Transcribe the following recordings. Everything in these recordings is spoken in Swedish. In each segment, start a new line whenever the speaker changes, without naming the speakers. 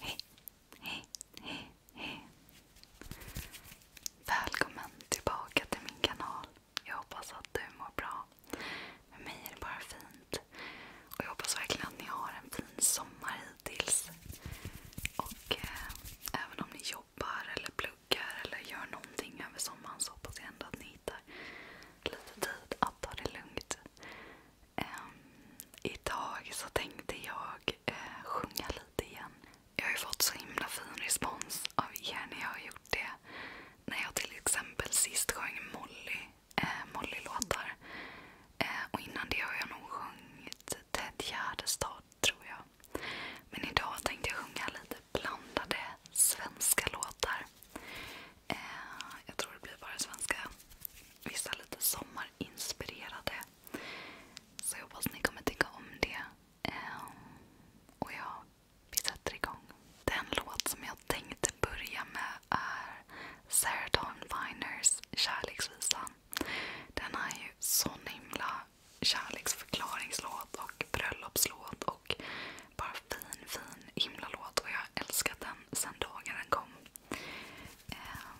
Hej, hej, hej, hej. Välkommen tillbaka till min kanal. Jag hoppas att du mår bra. Med mig är det bara fint. Och Jag hoppas verkligen att ni har en fin sommar hittills. Och eh, även om ni jobbar eller pluggar eller gör någonting över sommaren så hoppas jag ändå att ni hittar lite tid att ta det lugnt. Um, idag så tänkte jag uh, sjunga lite igen. Jag har ju fått så himla fin respons av er när jag har gjort det. När jag till exempel sist sjöng Molly, uh, Molly-låtar. Uh, och innan det har jag nog sjungit Ted Gärdestad, tror jag. Men idag tänkte jag sjunga lite blandade svenska låtar. Eh, jag tror det blir bara svenska. Vissa lite sommarinspirerade. Så jag hoppas ni kommer tycka om det. Eh, och ja, vi sätter igång. Den låt som jag tänkte börja med är Sarah Dawn Finers Kärleksvisan. Den är ju sån himla kärleksförklaringslåt och bröllopslåt och bara fin, fin himla och jag har älskat den sedan dagen den kom. Ehm,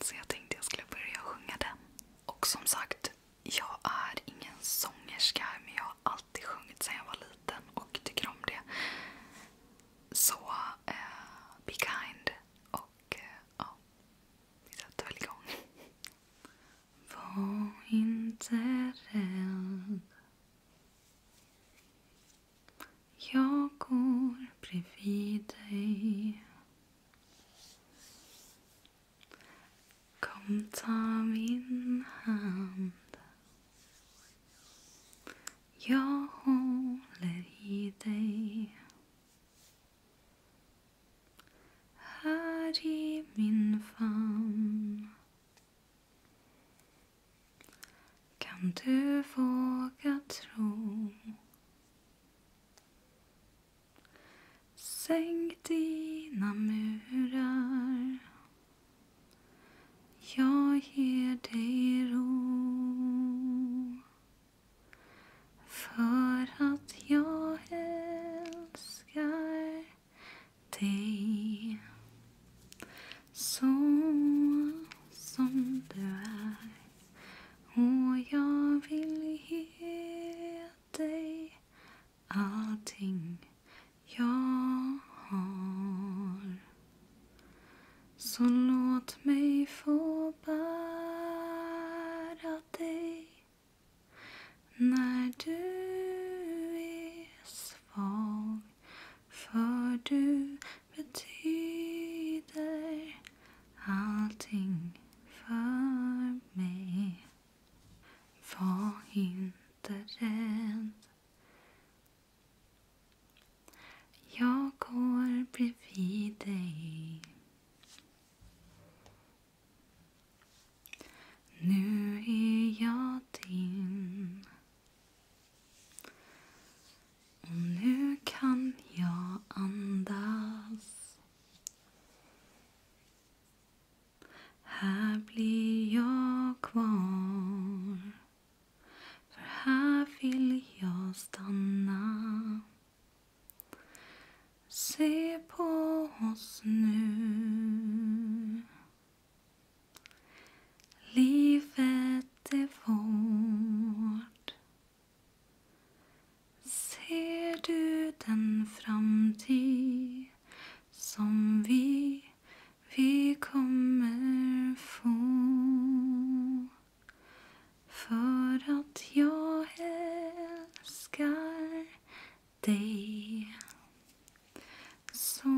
så jag tänkte jag skulle börja sjunga den. Och som sagt, jag är ingen sångerska men jag har alltid sjungit sedan jag var liten och tycker om det. Så eh, be kind och eh, ja, vi sätter väl igång. Var
inte rädd jag går bredvid dig Kom, ta min hand Jag håller i dig Här i min famn kan du våga tro? Sänk dina murar Jag ger dig ro För att jag älskar day So sondrar Oh, jag vill ge dig allting jag har Så låt mig få bära dig när du är svag För du betyder allting för mig. Var inte rädd. Jag går bredvid dig. Nu är jag din. Och nu kan jag andas Här blir jag kvar För här vill jag stanna Se på oss nu Livet är vårt. Ser du den framtid som vi, vi kommer få? För att jag älskar dig So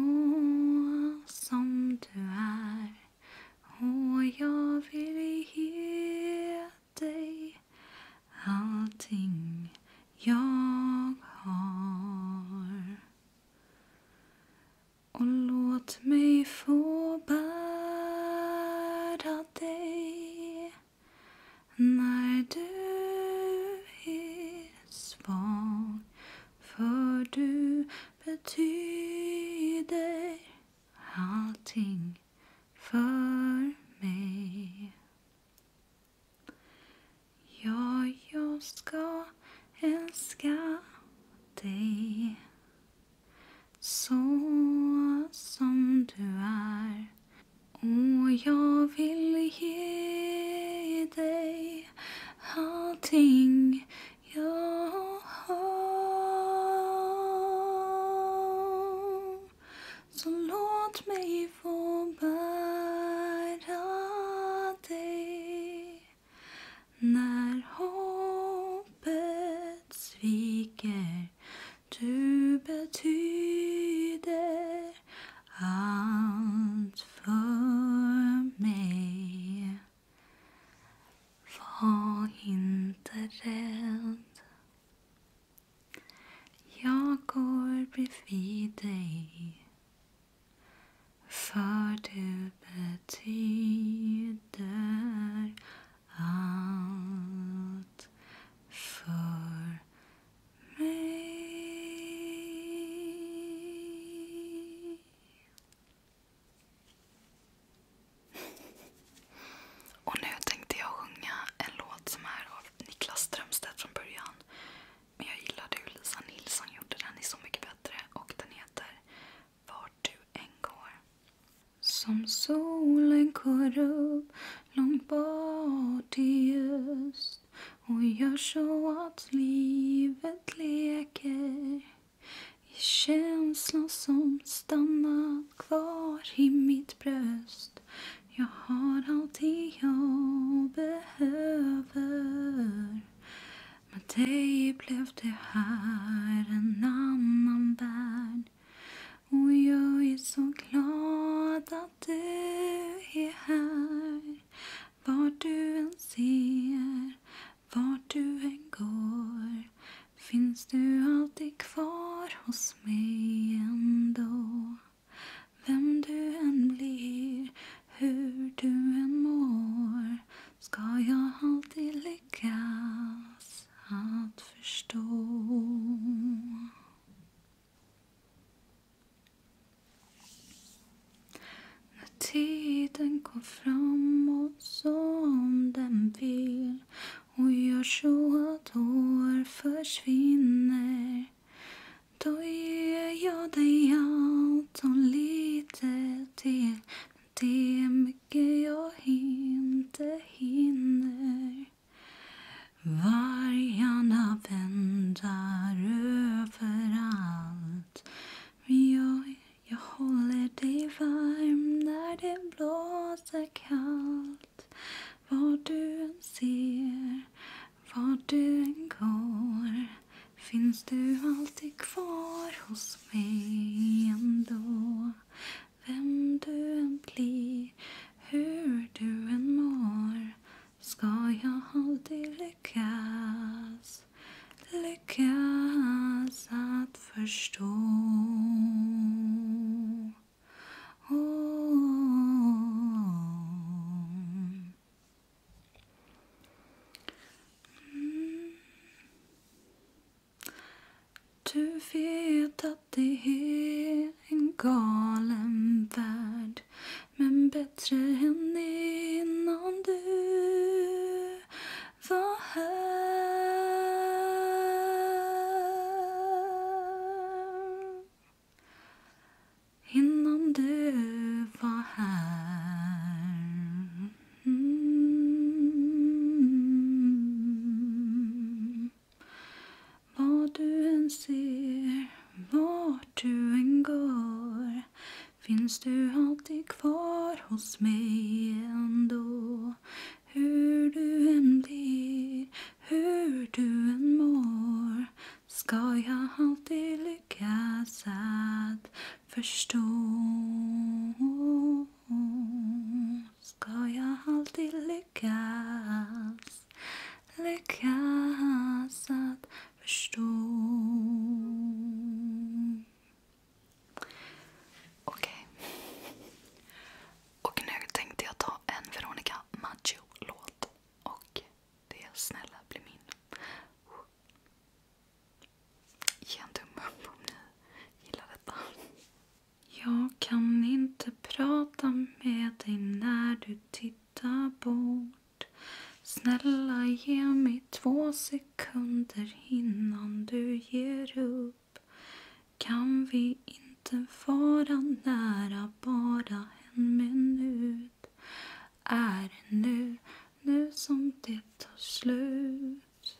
som du är och jag vill ge dig allting jag har. Och låt mig få bära dig när du är svag För du betyder allting för mig. Ja, jag ska älska dig så som du är. Och jag vill ge dig allting jag har. Så låt mig få bära dig när hoppet sviker. Du betyder out for me, Var inte rädd Jag går bredvid dig för du betyder allt för mig
Och nu tänkte jag sjunga en låt som är av Niklas Strömstedt från början. Men jag gillade hur Lisa Nilsson gjorde den i Så mycket bättre och den heter
Vart du än går. Som solen går upp långt bort i öst och gör så att livet leker i känslor som stannat kvar i mitt bröst Jag har allt jag behöver Med dig blev det här en annan värld och jag är så glad att du är här vart du än ser, vart du än går finns du alltid kvar hos mig ändå. Vem du än blir, hur du än mår ska jag alltid lyckas att förstå. När tiden går framåt som den vill och gör så att år försvinner då ger jag dig allt och lite till det är mycket jag inte hinner Vargarna väntar över överallt. Men jag, jag håller dig varm när det blåser kallt. Var du än ser, var du än går finns du alltid kvar hos mig ändå. Vem du än blir, hur du än mår Ska jag alltid lyckas, lyckas att förstå? Mm. Du vet att det är en galen värld Men bättre än innan du var här Innan du var här mm. Vad du än ser vart du än går finns du alltid kvar hos mig ändå. Hur du än blir, hur du än mår ska jag alltid lyckas att förstå. Ska jag alltid lyckas, lyckas att förstå.
Okej. Och nu tänkte jag ta en Veronica Maggio-låt. Och det Snälla bli min.
Ge en tumme upp om ni gillar detta. Jag kan inte prata med dig när du tittar titta bort. Snälla ge mig två sekunder innan du ger upp. Kan vi inte vara nära bara en minut? Är det nu, nu som det tar slut?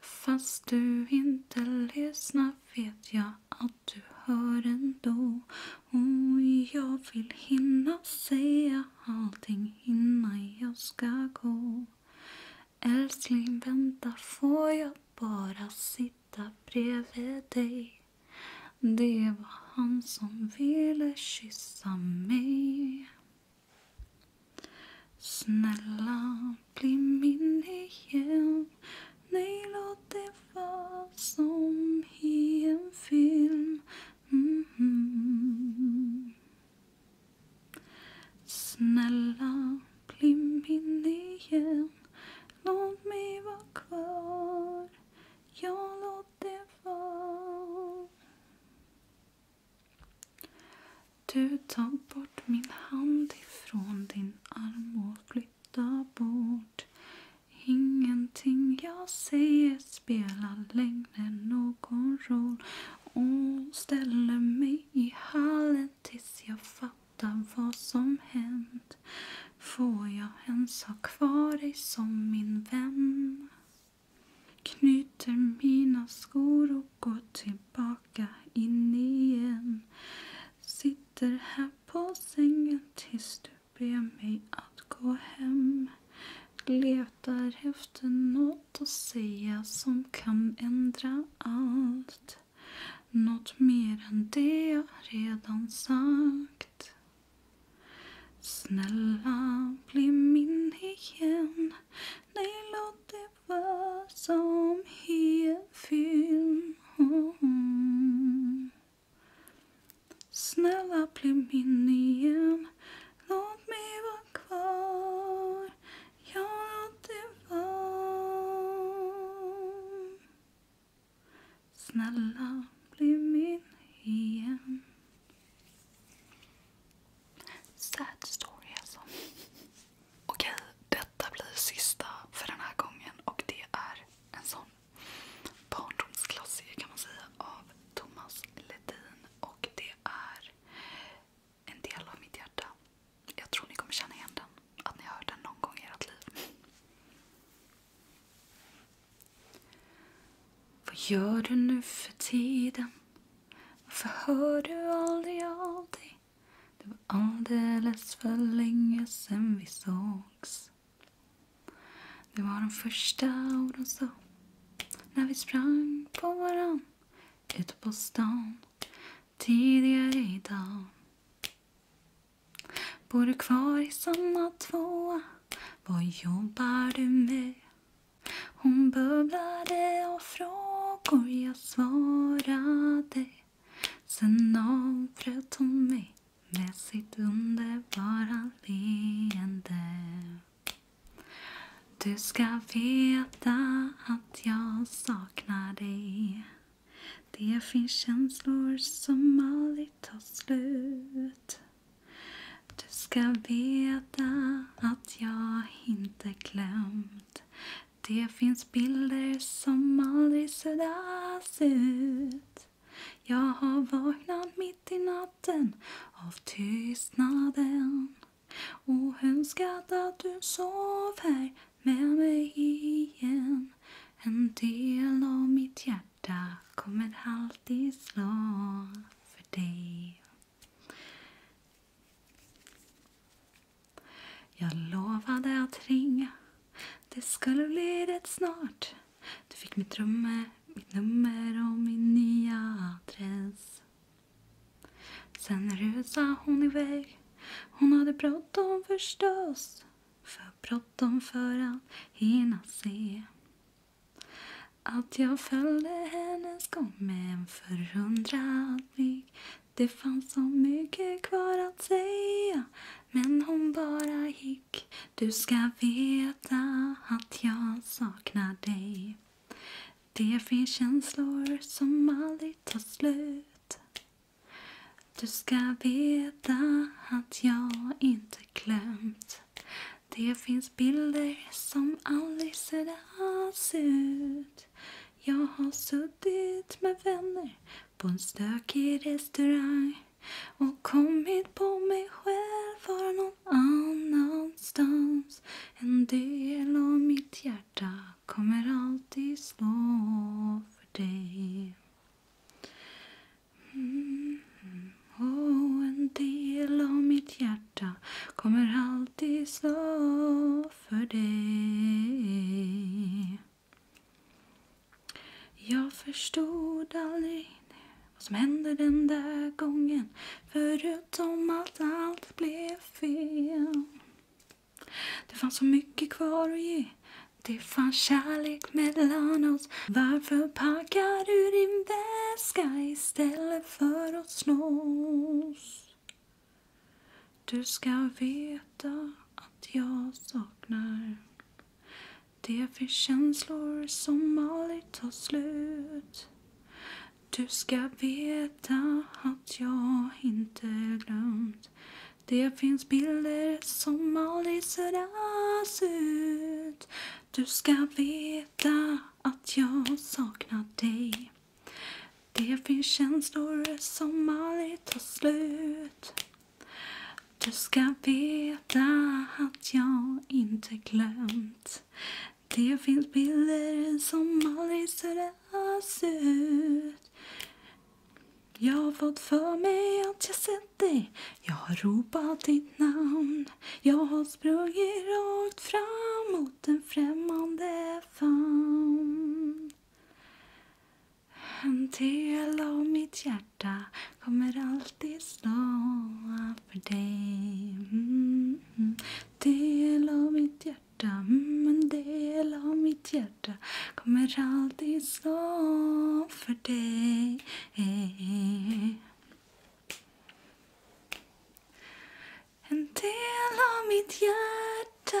Fast du inte lyssnar vet jag att du hör ändå och jag vill hinna säga allting innan jag ska gå. Älskling, vänta, får jag bara sitta bredvid dig? Det var han som ville kyssa mig. Snälla, bli min igen. Nej, låt det som i en film mm-hmm. Snälla, bli min igen Låt mig vara kvar Jag låt det vara Du tar bort min hand ifrån din arm och flyttar bort Ingenting jag säger spelar längre någon roll och ställer mig i hallen tills jag fattar vad som hänt. Får jag ens ha kvar dig som min vän? Knyter mina skor och går tillbaka in igen. Sitter här på sängen tills du Be mig att gå hem. Letar efter något att säga som kan ändra allt. Något mer än det jag redan sagt. Snälla, bli min igen. Nej, låt det vara som i en film. Snälla bli min igen Låt mig vara kvar Ja, låt det vara Snälla
bli min
igen
Sad story alltså. Okej, detta blir sista för den här gången och det är en sån barndomsklassiker kan man säga av Thomas Ledin. Och det är en del av mitt hjärta. Jag tror ni kommer känna igen den. Att ni har hört den någon gång i ert liv. Vad gör du nu för
tiden? Varför hör du aldrig av dig? Det var alldeles för länge sen vi sågs. Det var de första orden sa när vi sprang på varann ute på stan tidigare idag. Bor du kvar i samma tvåa? Vad jobbar du med? Hon bubblade av frågor jag svarade. Sen avbröt hon mig med sitt underbara leende. Du ska veta att jag saknar dig. Det finns känslor som aldrig tar slut. Du ska veta att jag inte glömt. Det finns bilder som aldrig suddas ut. Jag har vaknat mitt i natten av tystnaden och önskat att du sov här med mig igen. En del av mitt hjärta kommer alltid slå för dig. Jag lovade att ringa, det skulle bli rätt snart du fick mitt rum, mitt nummer och min nya adress. Sen rusade hon iväg. Hon hade bråttom förstås. För bråttom för att hinna se. Att jag följde hennes gång med en förundrad blick. Det fanns så mycket kvar att säga. Men hon bara gick blick. Du ska veta att jag saknar dig. Det finns känslor som aldrig tar slut. Du ska veta att jag inte glömt. Det finns bilder som aldrig ser alls ut. Jag har suttit med vänner på en stökig restaurang och kommit på mig själv vara någon annanstans. En del av mitt hjärta kommer alltid slå för dig. Mm. Oh, en del av mitt hjärta kommer alltid slå för dig. Jag förstod aldrig vad som hände den där gången förutom att allt blev fel. Det fanns så mycket kvar att ge det fanns kärlek mellan oss Varför packar du din väska istället för att slåss? Du ska veta att jag saknar det finns känslor som aldrig tar slut. Du ska veta att jag inte glömt. Det finns bilder som aldrig suddas ut. Du ska veta att jag saknar dig. Det finns känslor som aldrig tar slut. Du ska veta att jag inte glömt Det finns bilder som aldrig suddas ut Jag har fått för mig att jag sett dig Jag har ropat ditt namn Jag har sprungit rakt fram mot en främmande famn en del av mitt hjärta kommer alltid stå för dig mm, mm, Del av mitt hjärta, mm, en del av mitt hjärta kommer alltid stå för dig En del av mitt hjärta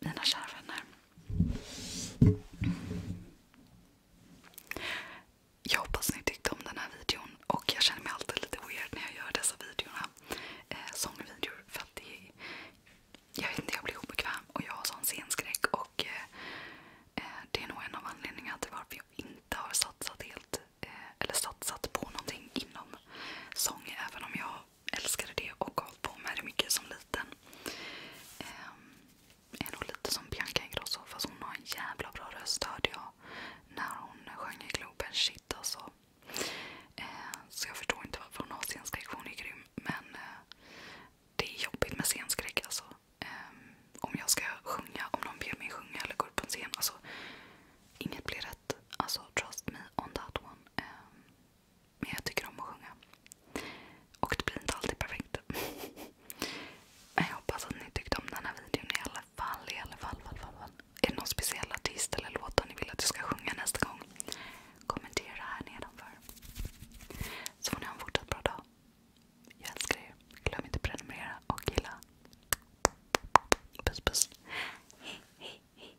mina kära vänner. Jag hoppas ni tyckte om den här videon och jag känner mig alltid lite weird när jag gör dessa videorna. Eh, sångvideor. För att det, är... jag vet inte, jag blir obekväm och jag har sån scenskräck. Och, eh, eh det är nog en av anledningarna till varför jag inte har satsat helt eh, eller satsat på någonting inom sång. Även om jag älskade det och gav på mig det mycket som liten. Jag ehm, är nog lite som Bianca Ingrosso fast hon har en jävla bra röst hörde jag när hon sjöng i Globen. Shit alltså. Ehm, så jag förstår inte varför hon har scenskräck för hon är grym. Men eh, det är jobbigt med scenskräck alltså. Ehm, om jag ska sjunga, om någon ber mig sjunga eller gå upp på en scen. Alltså, inget blir rätt. Alltså trust me on that one. Men jag tycker om att sjunga. Och det blir inte alltid perfekt. Men jag hoppas att ni tyckte om den här videon i alla fall. Är det någon speciell artist eller låtar ni vill att jag ska sjunga nästa gång? Kommentera här nedanför. Så får ni ha en fortsatt bra dag. Jag älskar er. Glöm inte att prenumerera och gilla. Puss puss. Hej, hej, hej.